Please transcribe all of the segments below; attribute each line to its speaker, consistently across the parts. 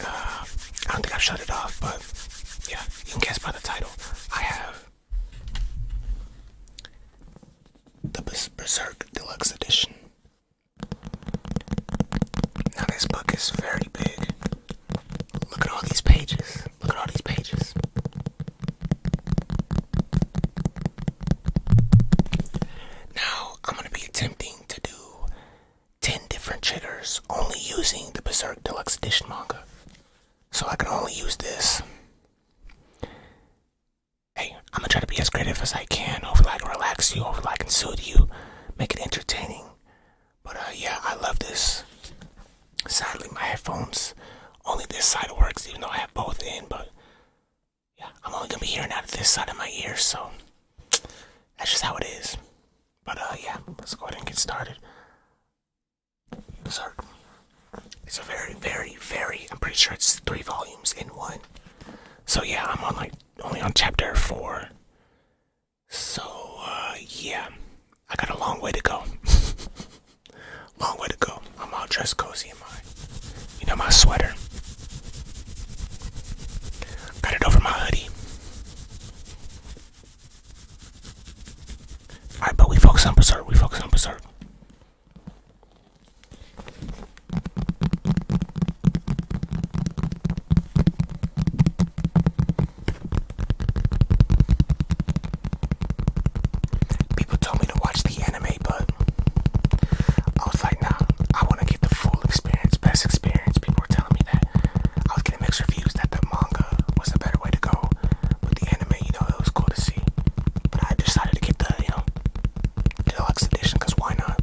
Speaker 1: Uh, I don't think I've shut it off, but yeah, you can guess by the title. I have the Berserk Deluxe Edition. Now, this book is very big. Look at all these pages. Look at all these pages. Now, I'm going to be attempting to do 10 different triggers only using the Berserk Deluxe Edition manga. So I can only use this. Hey, I'm gonna try to be as creative as I can. Hopefully, I relax you. Hopefully, I can soothe you. Make it entertaining. But uh, yeah, I love this. Sadly, my headphones only this side works, even though I have both in. But yeah, I'm only gonna be hearing out of this side of my ear, so that's just how it is. But uh, yeah, let's go ahead and get started. So, it's a very, very, very. I'm pretty sure it's three volumes in one. So yeah, I'm on like only on chapter four. So uh, yeah, I got a long way to go. long way to go. I'm all dressed cozy am I? You know, my sweater. Got it over my hoodie. Alright, but we focus on Berserk. We focus on Berserk. People told me to watch the anime, but I was like, nah, I want to get the full best experience. People were telling me that I was getting mixed reviews that the manga was the better way to go. but the anime, you know, it was cool to see. But I decided to get the, you know, deluxe edition because why not?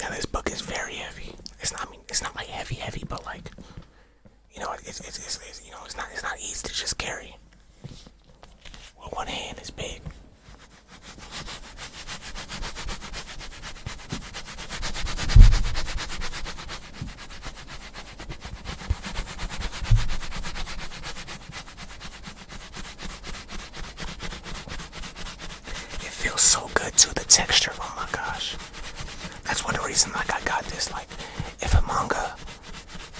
Speaker 1: Now this book is very heavy. It's not it's not like heavy heavy, but like you know it's it's, it's you know it's not it's not easy to just carry. Well, one hand is big. It feels so good to the texture, oh my gosh. That's one of the reasons like I got this. Like if a manga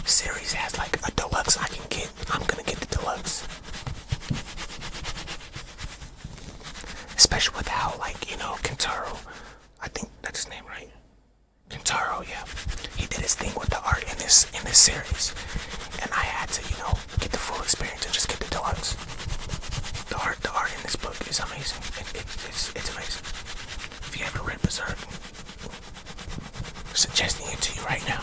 Speaker 1: series has like a deluxe I can get, I'm gonna get the deluxe. Especially without like, you know, Kintaro. I think that's his name, right? Kintaro. yeah. He did his thing with the art in this in this series. And I had to, you know, get the full experience and just get the deluxe. The art, the art in this book is amazing. it's, it's amazing. If you haven't read Berserk, I'm suggesting it to you right now.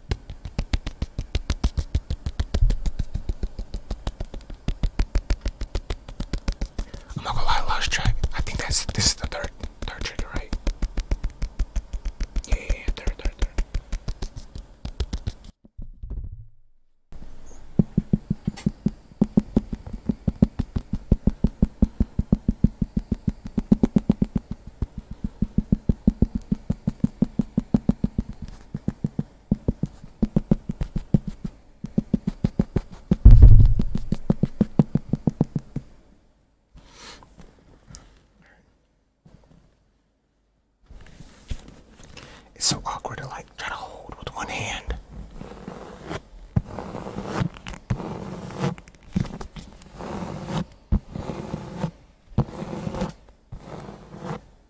Speaker 1: I'm not gonna lie, last track. I think that's this is the third third trigger, right? yeah third, third, third. It's so awkward to like try to hold with one hand.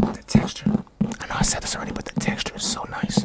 Speaker 1: The texture, I know I said this already, but the texture is so nice.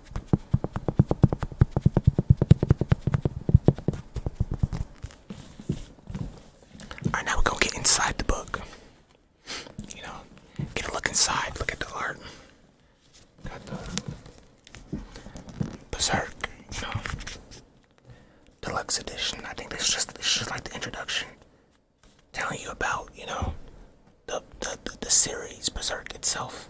Speaker 1: Alright, now we're gonna get inside the book. You know, get a look inside, look at the art. Got the Berserk, Deluxe edition. I think this is just this just like the introduction. Telling you about, you know, the, the, the series Berserk itself.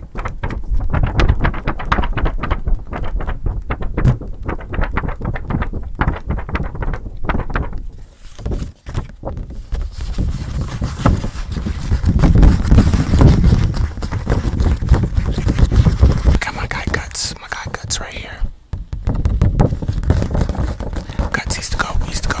Speaker 1: Look at my guy Guts. My guy Guts right here. Guts used to go. Used to go.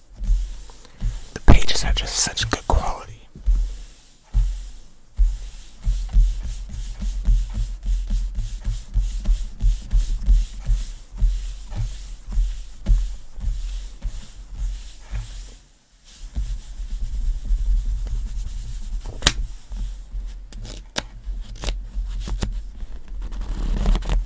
Speaker 1: The pages are just such good quality.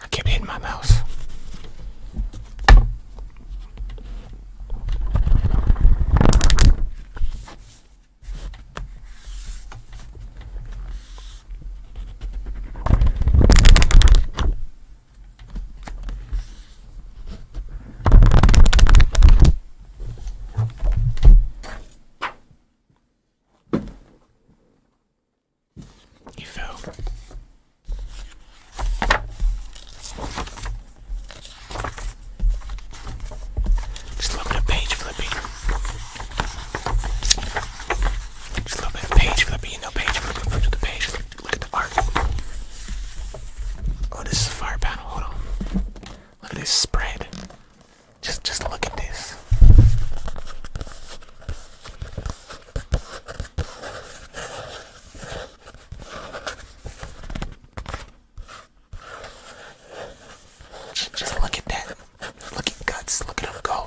Speaker 1: I keep hitting my mouse. You fell. Just a little bit of page flipping. Just a little bit of page flipping, you know, page flipping, look at the page, look, at the art. Oh, this is a fire panel. Hold Look at this spread. Just, just look at this. just look at that. Look at guts. Look at them go.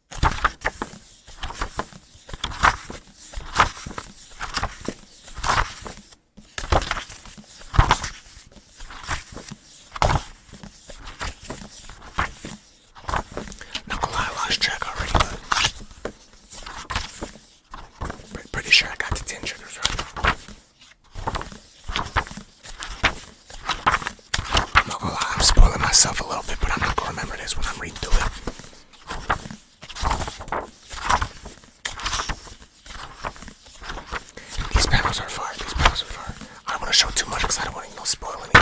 Speaker 1: Not gonna lie, I lost track already, but pretty sure I got the 10 triggers right. I'm not gonna lie, I'm spoiling myself a little bit, but I'm not gonna remember this when I'm reading through it. These panels are fire, these panels are fire. I don't wanna show too much because I don't wanna you know, spoil anything.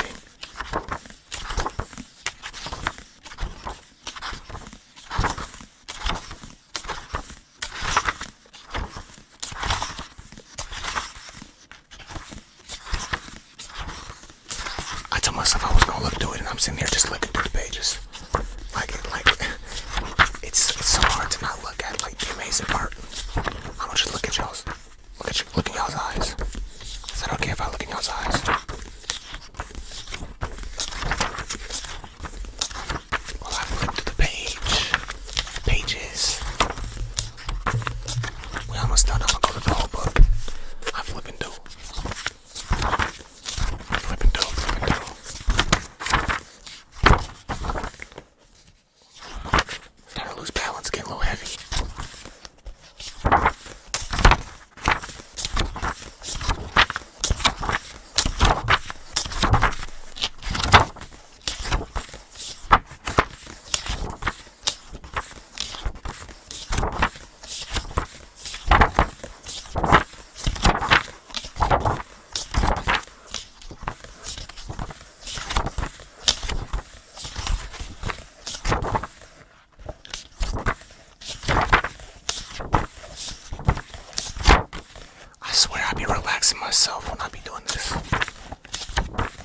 Speaker 1: I told myself I was gonna look through it, and I'm sitting here just looking through the pages. Like, like it's, it's so hard to not look at like the amazing part. I'm gonna just look at y'all's, look at you, look at y'all's eyes. Is that okay if I look at y'all's eyes? I've looked at the page, pages, we're almost done. I'm gonna go to the whole book. I flipping do. Flipping do, flipping do. Starting to lose balance, getting a little heavy. I swear I be relaxing myself when I be doing this.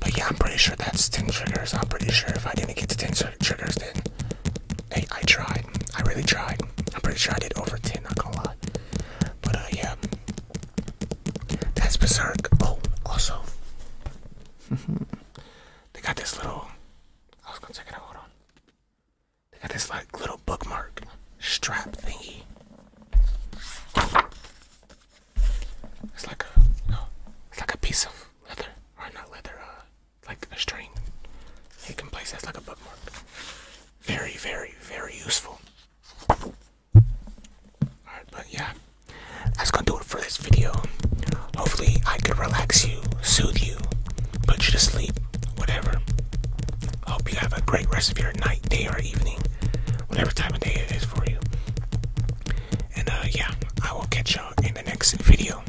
Speaker 1: But yeah, I'm pretty sure that's 10 triggers. I'm pretty sure if I didn't get to 10 triggers, then hey, I tried. I really tried. I'm pretty sure I did over 10, not gonna lie. But uh, yeah, that's Berserk. Oh, also, they got this little, I was gonna check it out, hold on. They got this like little bookmark strap thingy. It's like a no, it's like a piece of leather, or not leather, uh, like a string. You can place that like a bookmark. Very, very, very useful. Alright, but yeah, that's gonna do it for this video. Hopefully, I could relax you, soothe you, put you to sleep, whatever. Hope you have a great rest of your night, day, or evening, whatever time of day it is for you. And uh, yeah, I will catch y'all in the next video.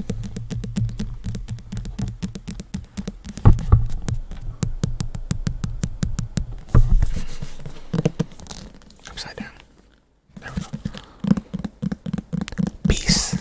Speaker 1: Upside down. There we go. Peace.